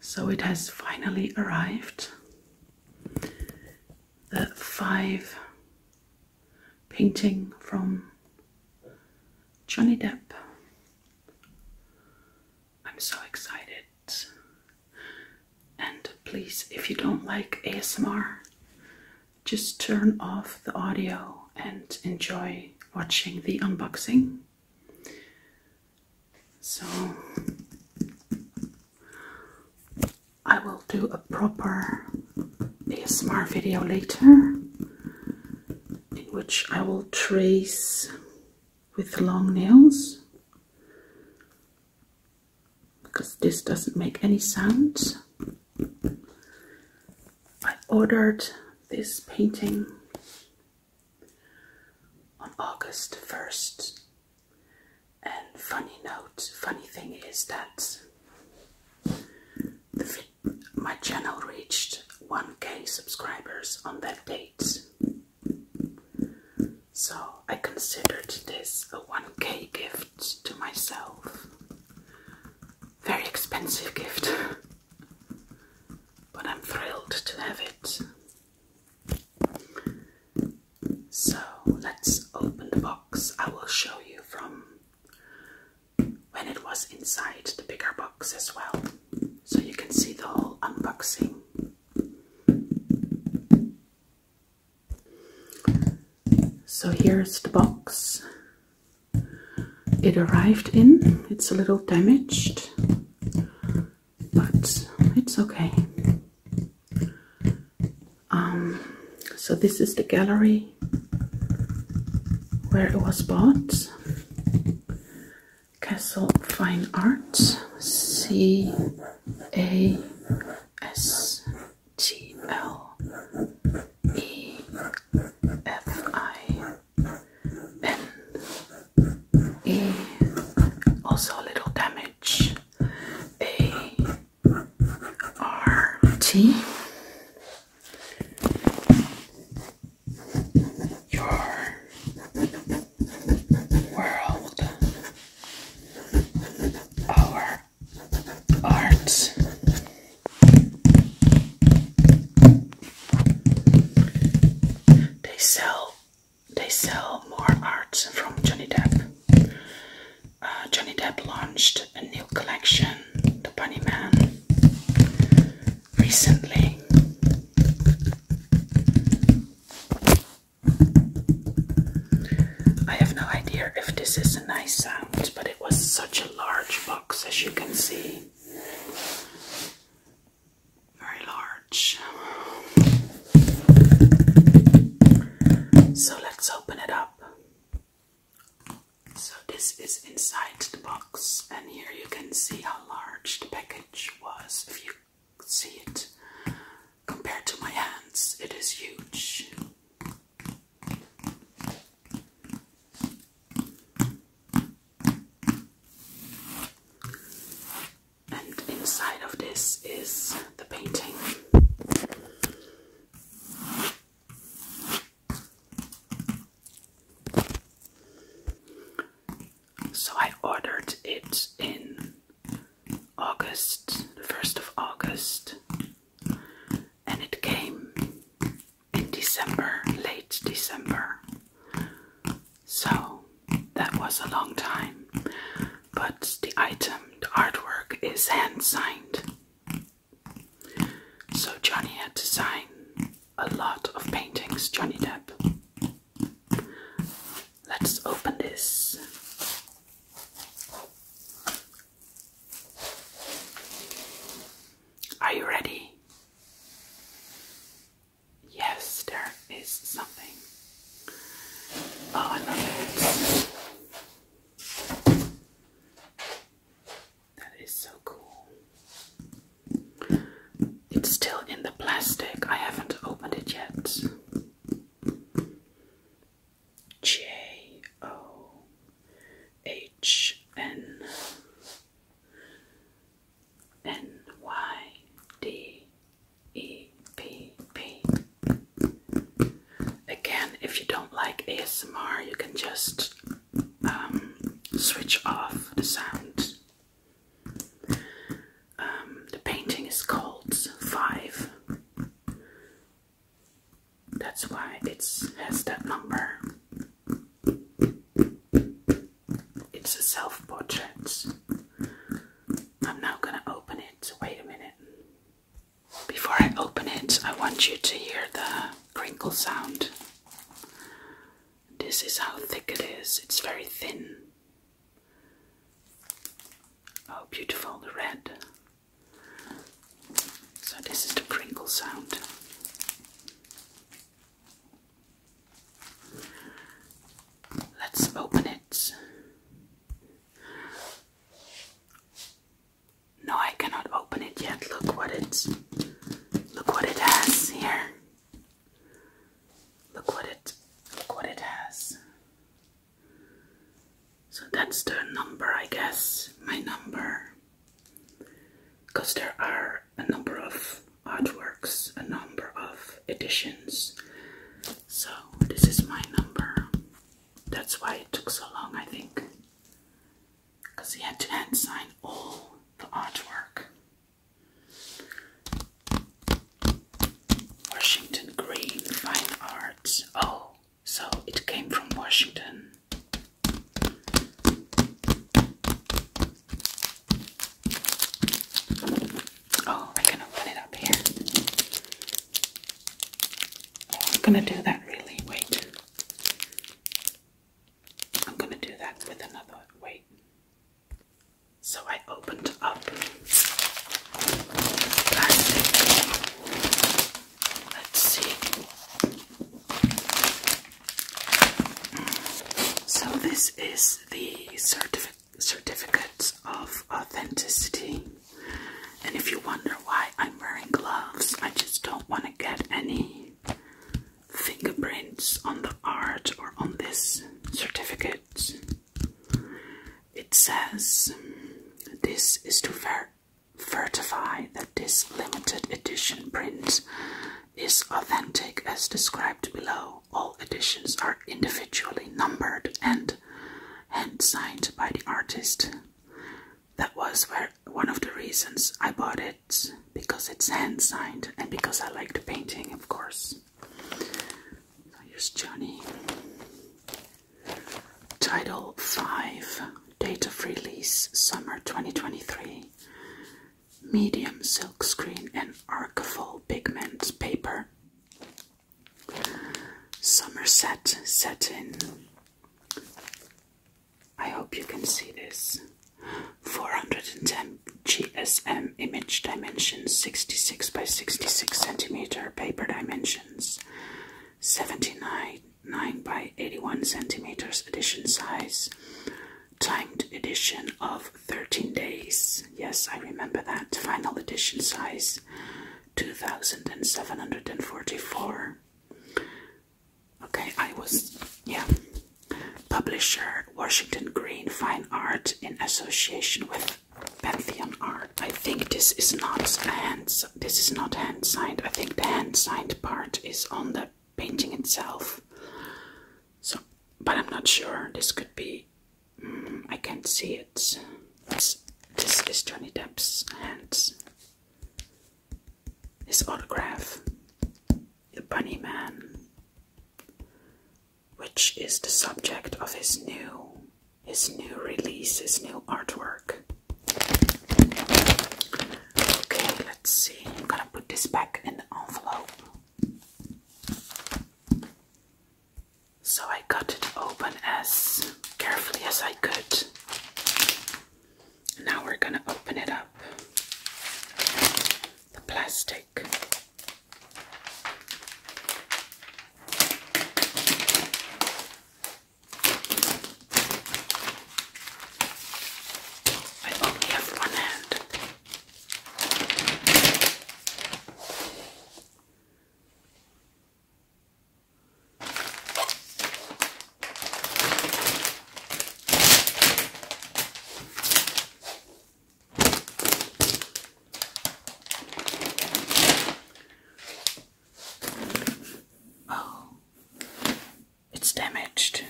So it has finally arrived. The five painting from Johnny Depp. I'm so excited. And please, if you don't like ASMR, just turn off the audio and enjoy watching the unboxing. So I will do a proper ASMR video later in which I will trace with long nails because this doesn't make any sound. I ordered this painting on August 1st. And funny note, funny thing is that my channel reached 1k subscribers on that date. So I considered this a 1k gift to myself. Very expensive gift. but I'm thrilled to have it. So let's open the box. I will show you from when it was inside the bigger box as well, so you can see the whole unboxing. So here's the box it arrived in. It's a little damaged but it's okay. Um, so this is the gallery where it was bought. Castle Fine Arts, C A S T L E F I then also a little damage. A R T. Your world, our art, they sell they sell more arts from Johnny Depp. Uh, Johnny Depp launched a new collection, The Bunny Man, recently. I have no idea if this is a nice sound, but it was such a large box as you can see very large. So let's open it up. So this is inside the box, and here you can see how large the package was. If you see it compared to my hands, it is huge. And inside of this is the painting. So I ordered it in August, the 1st of August, and it came in December, late December. So that was a long time. But the item, the artwork, is hand signed. So Johnny had to sign a lot of paintings, Johnny Depp. Let's open this. Are you ready? Yes, there is something. Oh, I love it. That is so cool. It's still in the plastic. I haven't opened it yet. J O H N N Y D E P P. Again, if you don't like ASMR, you can just um, switch off the sound. Um, the painting is called Five. That's why it has that number. It's a self portrait. I'm now going to open it. Wait a minute. Before I open it, I want you to hear the crinkle sound. This is how thick it is, it's very thin. Oh, beautiful, the red. So, this is the crinkle sound. Let's open it. No, I cannot open it yet. Look what it look what it has here. Look what it look what it has. So that's the number, I guess. My number. Because there are a number of artworks, a number of editions. So, this is my number. That's why it took so long, I think. Because he had to hand sign all the artwork. Washington Green Fine Arts. Oh, so it came from Washington. Oh, we're gonna open it up here. Oh, I'm gonna do that really. Wait. I'm gonna do that with another. Wait. So I opened up Let's see. So this is the certifi certificate of authenticity. And if you wonder why I'm wearing gloves, I just don't want to get any fingerprints on the art or on this certificate. It says this is too fair certify that this limited edition print is authentic as described below. All editions are individually numbered and hand signed by the artist. That was one of the reasons I bought it because it's hand signed and because I like the painting, of course. I use Johnny. Title 5 date of release summer 2023. Medium silkscreen and Archival pigment paper. Somerset set in. I hope you can see this. 410 GSM image dimensions, 66 by 66 centimeter paper dimensions, 79 9 by 81 centimeters edition size timed edition of 13 days yes i remember that final edition size 2744 okay i was yeah publisher washington green fine art in association with pantheon art i think this is not a hand this is not hand signed. I think the hand signed part is on the painting itself. So, but I'm not sure. This could be. Mm, I can't see it. this is Johnny Depp's hand. His autograph, the Bunny Man, which is the subject of his new his new release, his new artwork. Okay, let's see. I'm gonna put this back in the envelope. So I cut it open as carefully as I could. Now we're gonna open it up. The plastic. I only have one hand. Oh, it's damaged.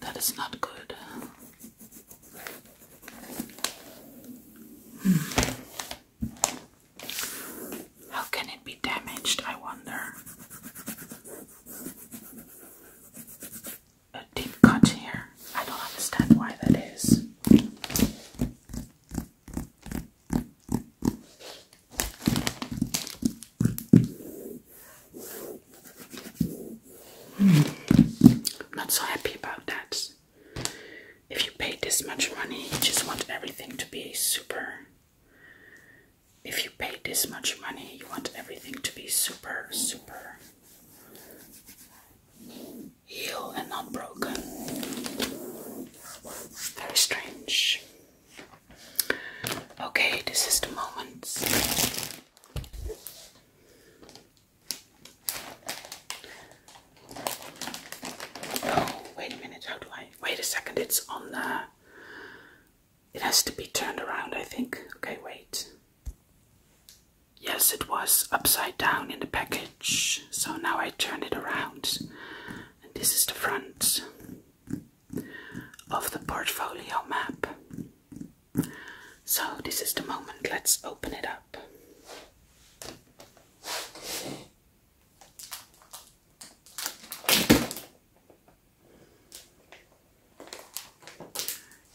That is not good. Hmm. How can it be damaged, I wonder? A deep cut here. I don't understand why that is not so happy about that. If you pay this much money, you just want everything to be super. If you pay this much money, you want everything to be super, super healed and not broken. Very strange. Okay, this is the moment. Oh, wait a minute, how do I? Wait a second, it's on the. It has to be turned around, I think. Okay, wait. Yes, it was upside down in the package, so now I turn it around. And this is the front of the portfolio map. So, this is the moment, let's open it up.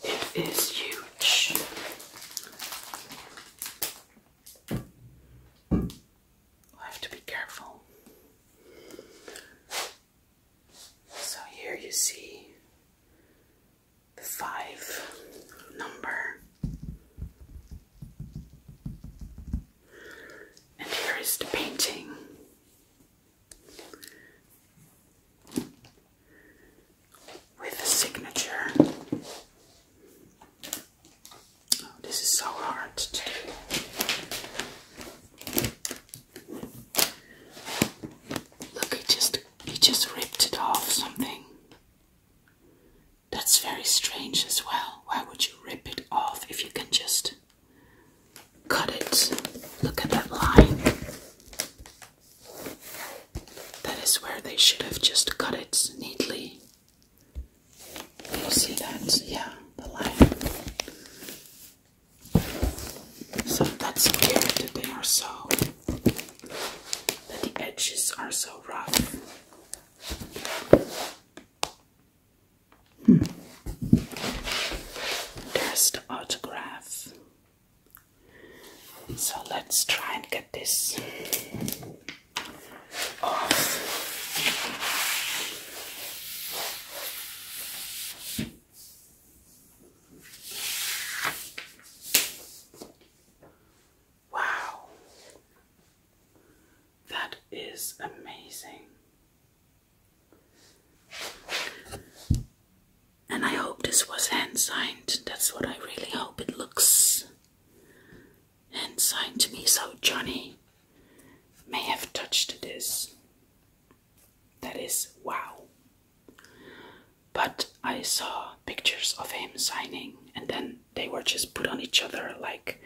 It is huge i have to be careful. So here you see the five number. And here is the painting with the signature. Oh, this is so hard Look, he just he just ripped it off something. That's very strange as well. Why would you rip it off if you can just cut it? Look at that line. That is where they should have just cut it neatly. You see that? Yeah, the line. So that's weird that they are so. that the edges are so rough. Hmm. There's the autograph. So let's try and get this off. Wow, that is amazing. And I hope this was hand signed. That's what I really hope it looks hand signed to me. So Johnny may have touched this. That is wow. But I saw pictures of him signing, and then they were just put on each other like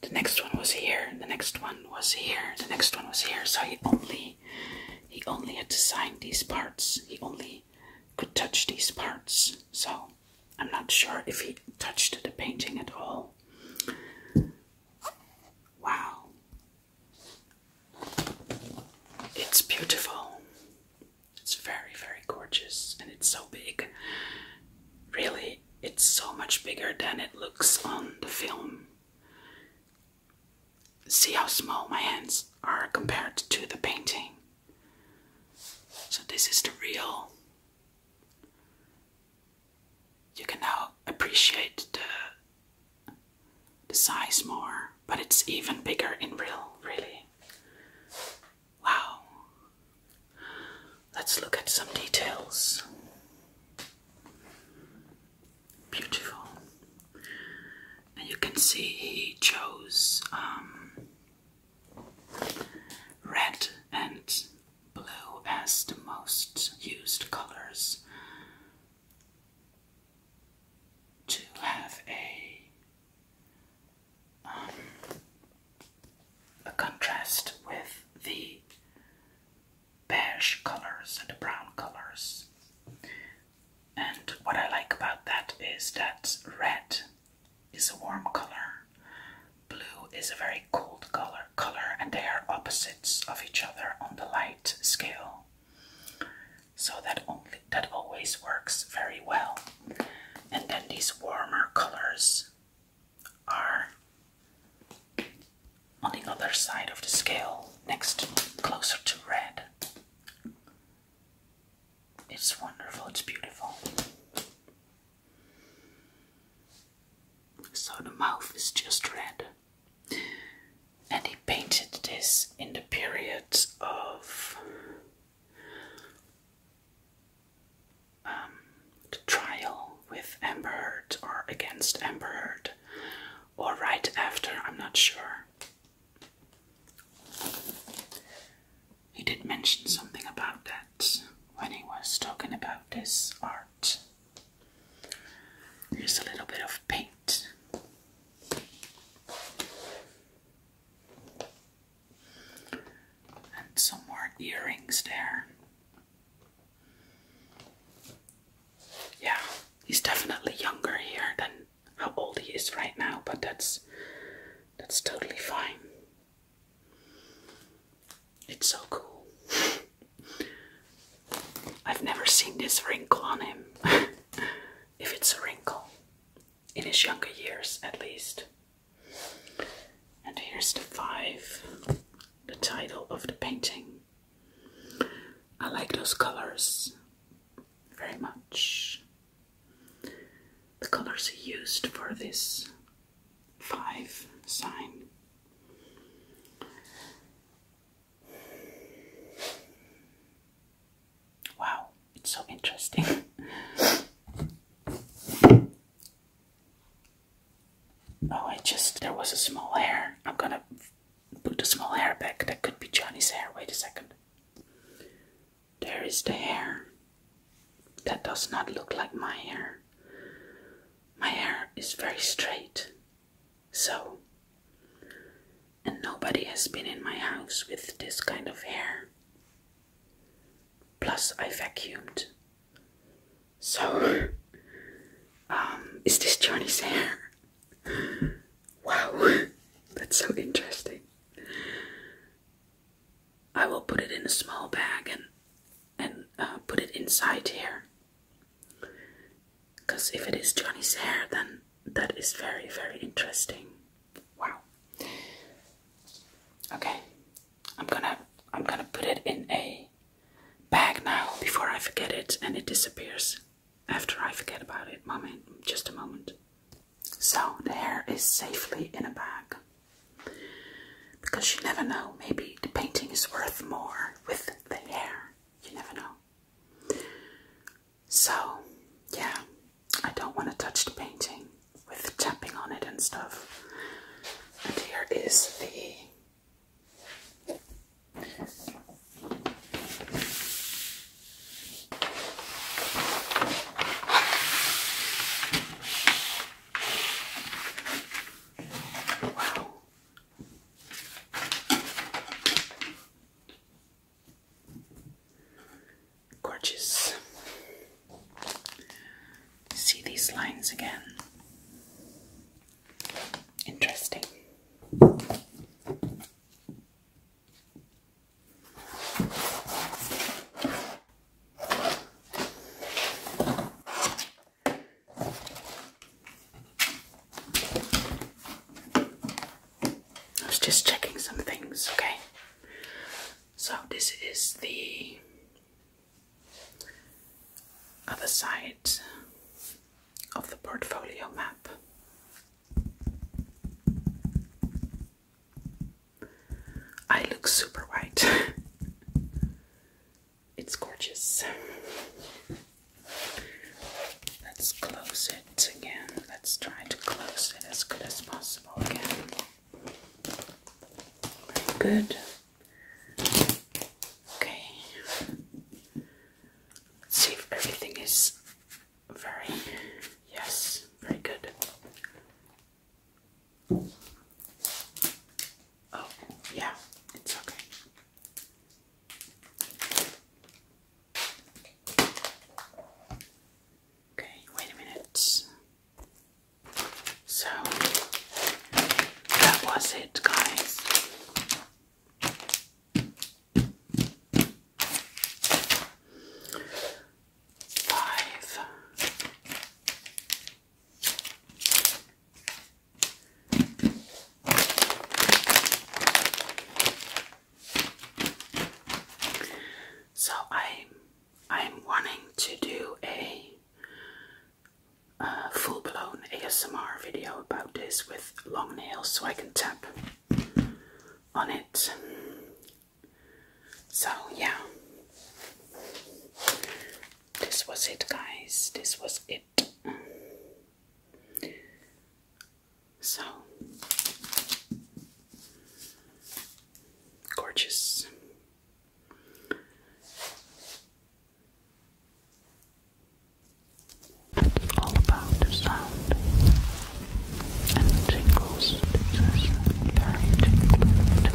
the next one was here, the next one was here, the next one was here. So he only he only had to sign these parts. He only could touch these parts. So I'm not sure if he touched the painting at all. Wow. It's beautiful. It's very, very gorgeous and it's so big. Really, it's so much bigger than it looks on the film see how small my hands are compared to the painting. So, this is the real. You can now appreciate the, the size more, but it's even bigger in real, really. Wow. Let's look at some details. Beautiful and you can see he chose um, red and blue as the most used colors to have a um, a contrast with the beige colors and the brown colors and what I like about that is that red is a warm color, blue is a very cold color, color and they are opposites of each other on the light scale. So that only that always works very well. And then these warmer colors are on the other side of the scale, next closer to red. It's wonderful, it's beautiful. So the mouth is just red. And he painted this in the period of um, the trial with Amber or against Amber or right after, I'm not sure. He did mention something about that when he was talking about this art. Here's a little bit of paint. And some more earrings there. Yeah, he's definitely younger here than how old he is right now, but that's that's totally fine. It's so cool. I've never seen this wrinkle on him. if it's a wrinkle. In his younger years at least. And here's the five, the title of the painting. I like those colors very much. The colors used for this five sign. Wow, it's so interesting. oh, I just, there was a small hair. I'm gonna put a small hair back. That could be Johnny's hair. Wait a second. There is the hair. That does not look like my hair. My hair is very straight. So, and nobody has been in my house with this kind of hair. Plus, I vacuumed. So, um, is this Johnny's hair? Wow, that's so interesting. I will put it in a small bag and and uh, put it inside here. Because if it is Johnny's hair, then that is very, very interesting. Wow. Okay, I'm gonna I'm gonna put it in a bag now before I forget it and it disappears after I forget about it. Moment, just a moment. So the hair is safely in a bag. Because you never know, maybe the painting is worth more with the hair. You never know. So, yeah, I don't want to touch the painting with tapping on it and stuff. And here is the Wow. Gorgeous. See these lines again. Interesting. I was just checking some things, okay? So, this is the other side of the portfolio map. I look super white. it's gorgeous. Let's close it again. Let's try to close it as good as possible again. Very good. Okay see if everything is very, yes, very good. Oh, yeah, it's okay. Okay, wait a minute. So that was it, guys. Five. So i I'm wanting to do a uh, full blown ASMR video about this with long nails so I can tap on it. So, yeah, this was it, guys. This was it. So gorgeous all about the sound and the tingles. This is very tingling to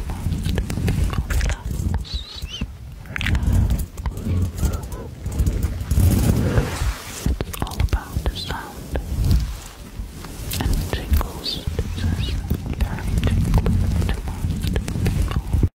It's all about the sound and the tingles. This is very tingling to